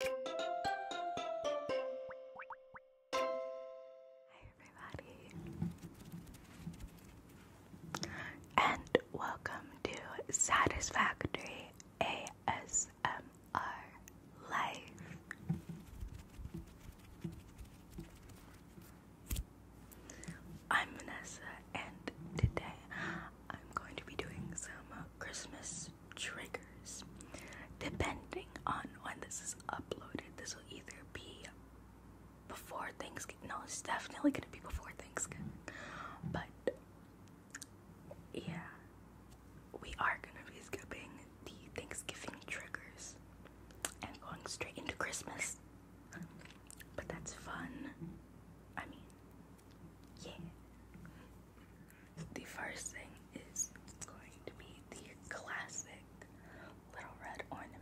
Hi everybody, and welcome to Satisfactory ASMR Life. I'm Vanessa, and today I'm going to be doing some Christmas triggers. Depending on when this is uploaded, this will either be before Thanksgiving. No, it's definitely gonna be before Thanksgiving. But yeah, we are gonna be skipping the Thanksgiving triggers and going straight into Christmas. But that's fun. I mean, yeah the first thing is going to be the classic little red ornament.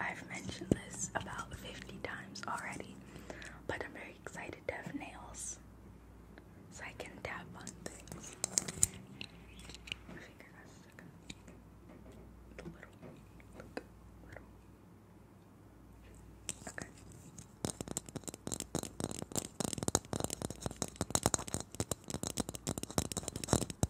I've mentioned this about 50 times already, but I'm very excited to have nails so I can tap on things.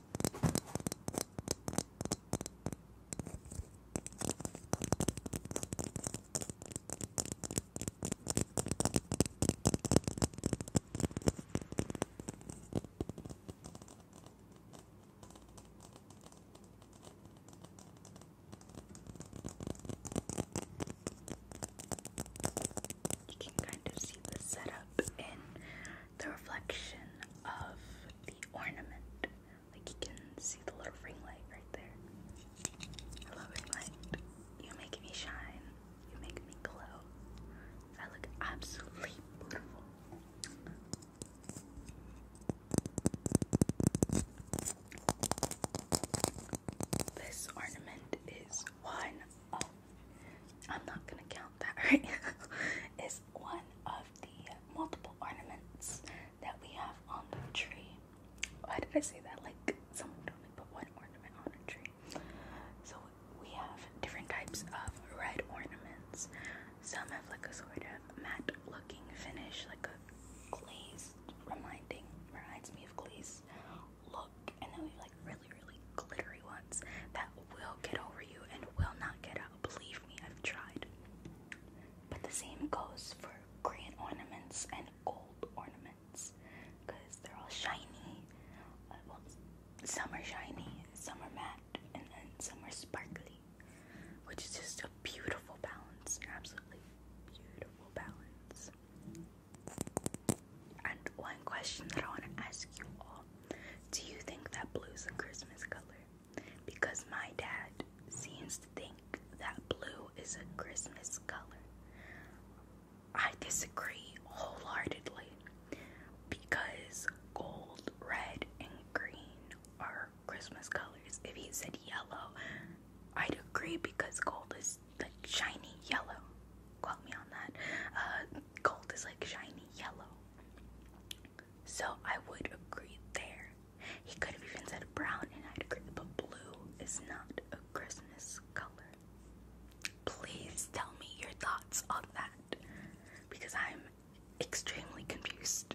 You can kind of see the setup in the reflection of the ornament. Like you can see the little ring light right there. I love ring You make me shine. You make me glow. I look absolutely beautiful. This ornament is one I'm not gonna count that right, is one of the multiple ornaments that we have on the tree. Why did I say that? Like someone told me put one ornament on a tree. So we have different types of red ornaments. Some have like a sort of matte looking finish, like a glazed reminding reminds me of glazed look. And then we have like really, really glittery ones that will get over you and will not get out. Believe me, I've tried. But the same goes for green ornaments and gold ornaments because they're all shiny. Uh, well, some are shiny, some are matte, and then some are sparkly, which is just a beautiful balance, absolutely beautiful balance. And one question that I want to ask you all do you think that blue is a Christmas color? Because my dad seems to think that blue is a Christmas color. I disagree wholeheartedly because gold, red, and green are Christmas colors. If he said yellow, I'd agree because gold is like shiny yellow. Quote me on that. Uh, gold is like shiny yellow. So I would agree there. He could have even said brown and I'd agree, but blue is not a Christmas color. Please tell me your thoughts on that because I'm extremely confused.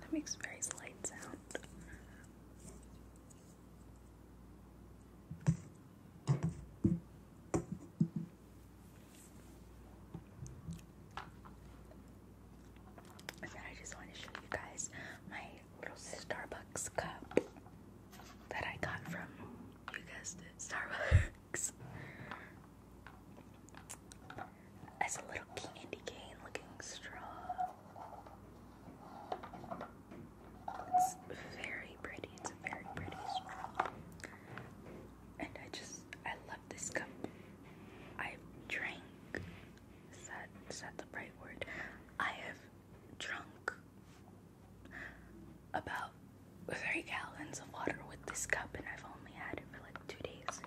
That makes very slight sound. I just want to show you guys my little Starbucks cup that I got from, you guessed Starbucks as a little candy cane looking straw. It's very pretty. It's a very pretty straw. And I just, I love this cup. I've drank, is that, is that the right word? I have drunk about three gallons of water with this cup, and I've only had it for like two days.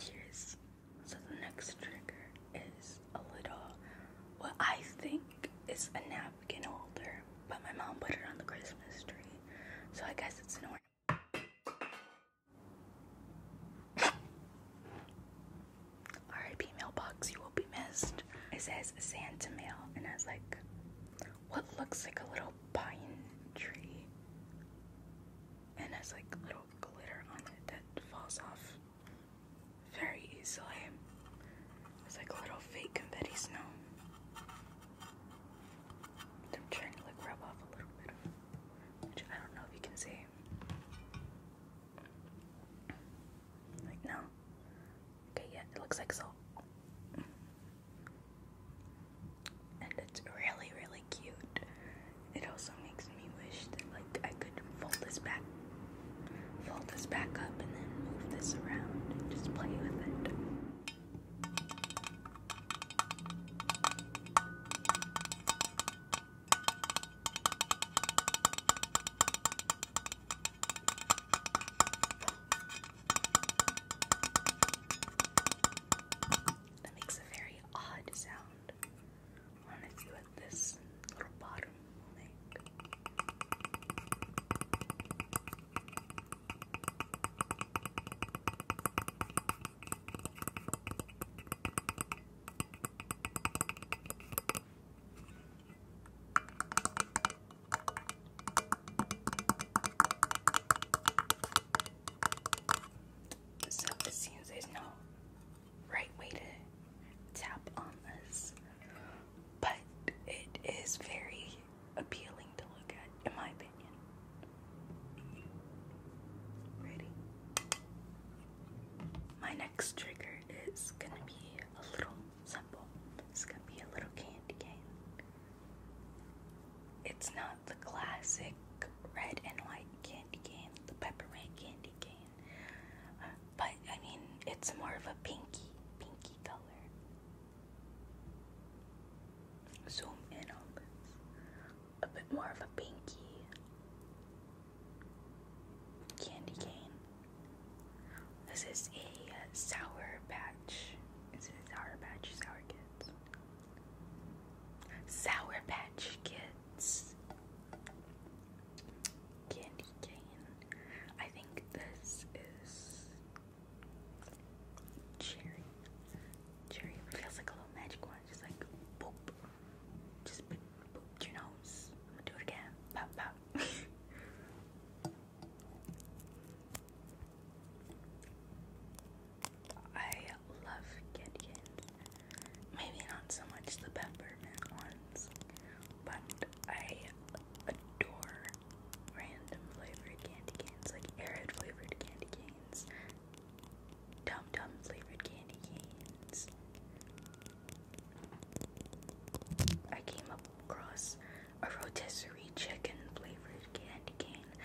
Cheers. So the next trigger is a little what I think is a nap napkin holder, but my mom put it on the Christmas tree, so I guess it's an RIP mailbox, you will be missed. It says Santa mail, and has like what looks like a little pine tree, and has like little glitter on it that falls off very easily. It's like a little fake confetti snow. I'm trying to like rub off a little bit of I don't know if you can see. Like no. Okay, yeah, it looks like salt. And it's really, really cute. It also makes me wish that like I could fold this back fold this back up and then move this around and just play with it. That makes a very odd sound. I want to see what this little bottom so it seems there's no right way to tap on this but it is very appealing to look at, in my opinion. Ready? My next trigger is gonna be a little simple. It's gonna be a little candy cane. It's not the classic red and white candy cane, the peppermint candy cane. Uh, but I mean, it's more of a pinky, pinky color. Zoom in on this. A bit more of a pinky candy cane. This is a uh, sour patch. Is sour patch? Sour kids. Sour patch kids candy cane. I think this is cherry. Cherry feels like a little magic one. Just like boop. Just boop, boop your nose. I'm gonna do it again. Pop, pop. I love candy canes. Maybe not so much the peppermint ones, but I adore random flavored candy canes, like arid flavored candy canes, dum dum flavored candy canes. I came across a rotisserie chicken flavored candy cane.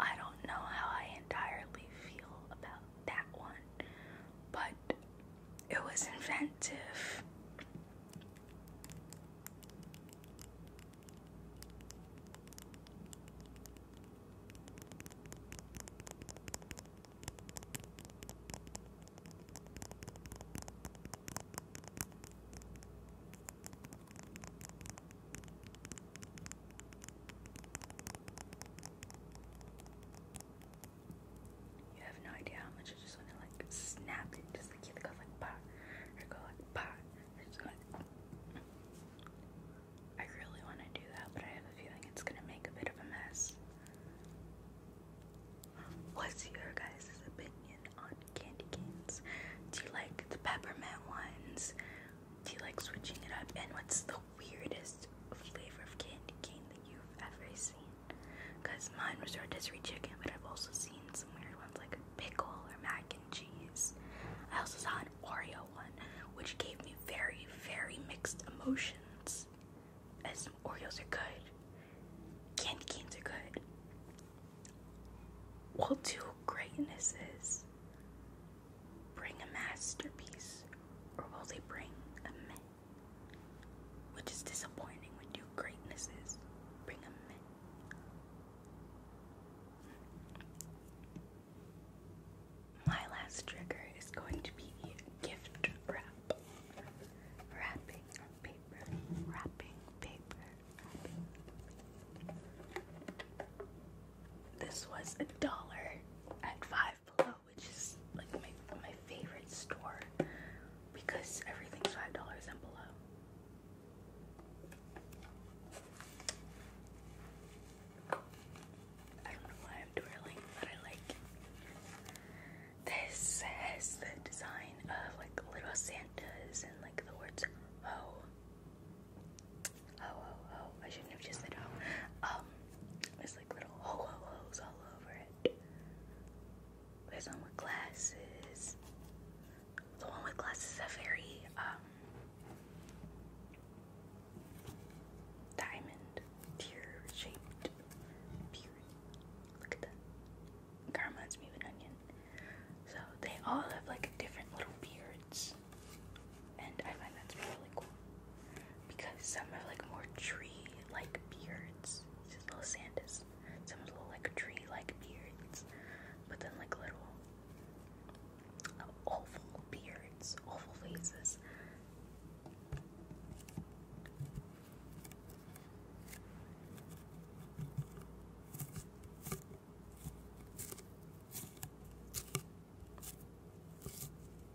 I don't know how I entirely feel about that one, but it was inventive. You have no idea how much I just want to like snap it, just like it goes like pop, or go like pop, or just go like. I really want to do that, but I have a feeling it's gonna make a bit of a mess. What's your guys' opinion on candy canes? Do you like the peppermint ones? Do you like switching it up? And what's the weirdest flavor of candy cane that you've ever seen? Because mine was rotisserie chicken, but I've also seen some weird ones like pickle or mac and cheese. I also saw an Oreo one, which gave me very, very mixed emotions. As some Oreos are good, candy canes are good. will two greatnesses. Bring a masterpiece, or will they bring a myth? Which is disappointing when your greatnesses bring them in. My last trigger is going to be gift wrap. Wrapping paper. Wrapping paper. This was a dollar at five below which is like my favorite store because everything's five dollars and below. I don't know why I'm twirling, but I like it. has the design of like little Santas and like the words ho. Oh, oh, I shouldn't have just said ho. Um, there's like little ho ho ho's all over it. There's one with glasses. The one with glasses is a very um diamond tear shaped beauty. Look at that. Kind of me of an onion. So they all have like different little beards and I find that's really cool because some are like more tree like beards. This little Sandus. Some are little like tree like beards, but then like little awful beards, awful faces.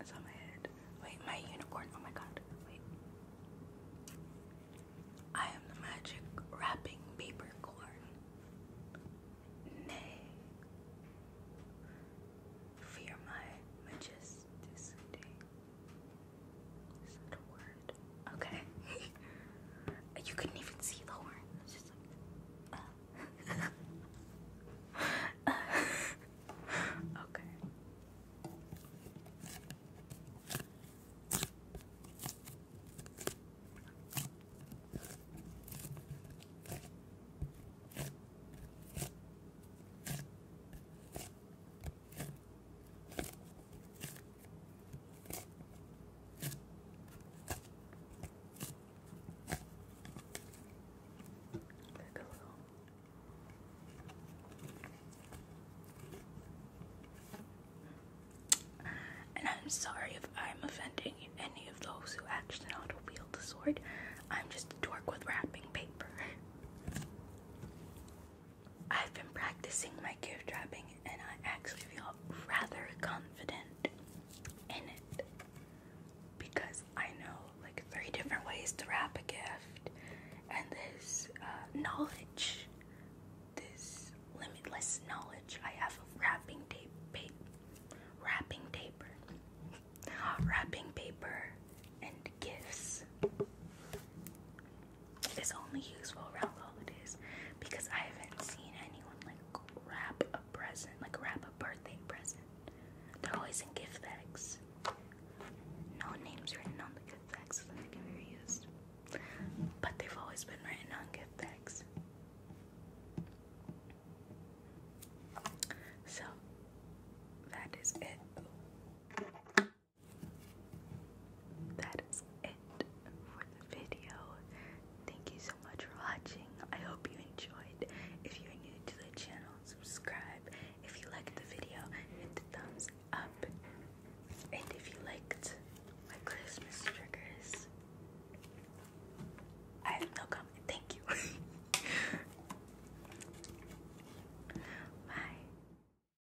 It's, on my head. Wait, my unicorn. Oh my god. Wait. I am the magic wrapping paper corn. Nay. Fear my majesticity. Is that a word? Okay. you couldn't even see the horn. Uh. Okay and I'm sorry if I'm offending any of those who act not to wield the sword. I'm just a dork with wrapping paper. I've been practicing my gift wrapping, and I actually feel rather confident in it because I know like three different ways to wrap a gift and this uh, knowledge, this limitless knowledge I have of wrapping tape, wrapping paper, wrapping paper and gifts. It's only useful around holidays because I haven't seen anyone like wrap a present, like wrap a birthday present. They're always in gift bags. No names written on the gift bags so that they can be reused. But they've always been written on gift bags. So that is it that is it for the video. Thank you so much for watching. I hope you enjoyed. If you're new to the channel, subscribe. If you liked the video, hit the thumbs up. And if you liked my Christmas triggers, I have no comment. Thank you. Bye.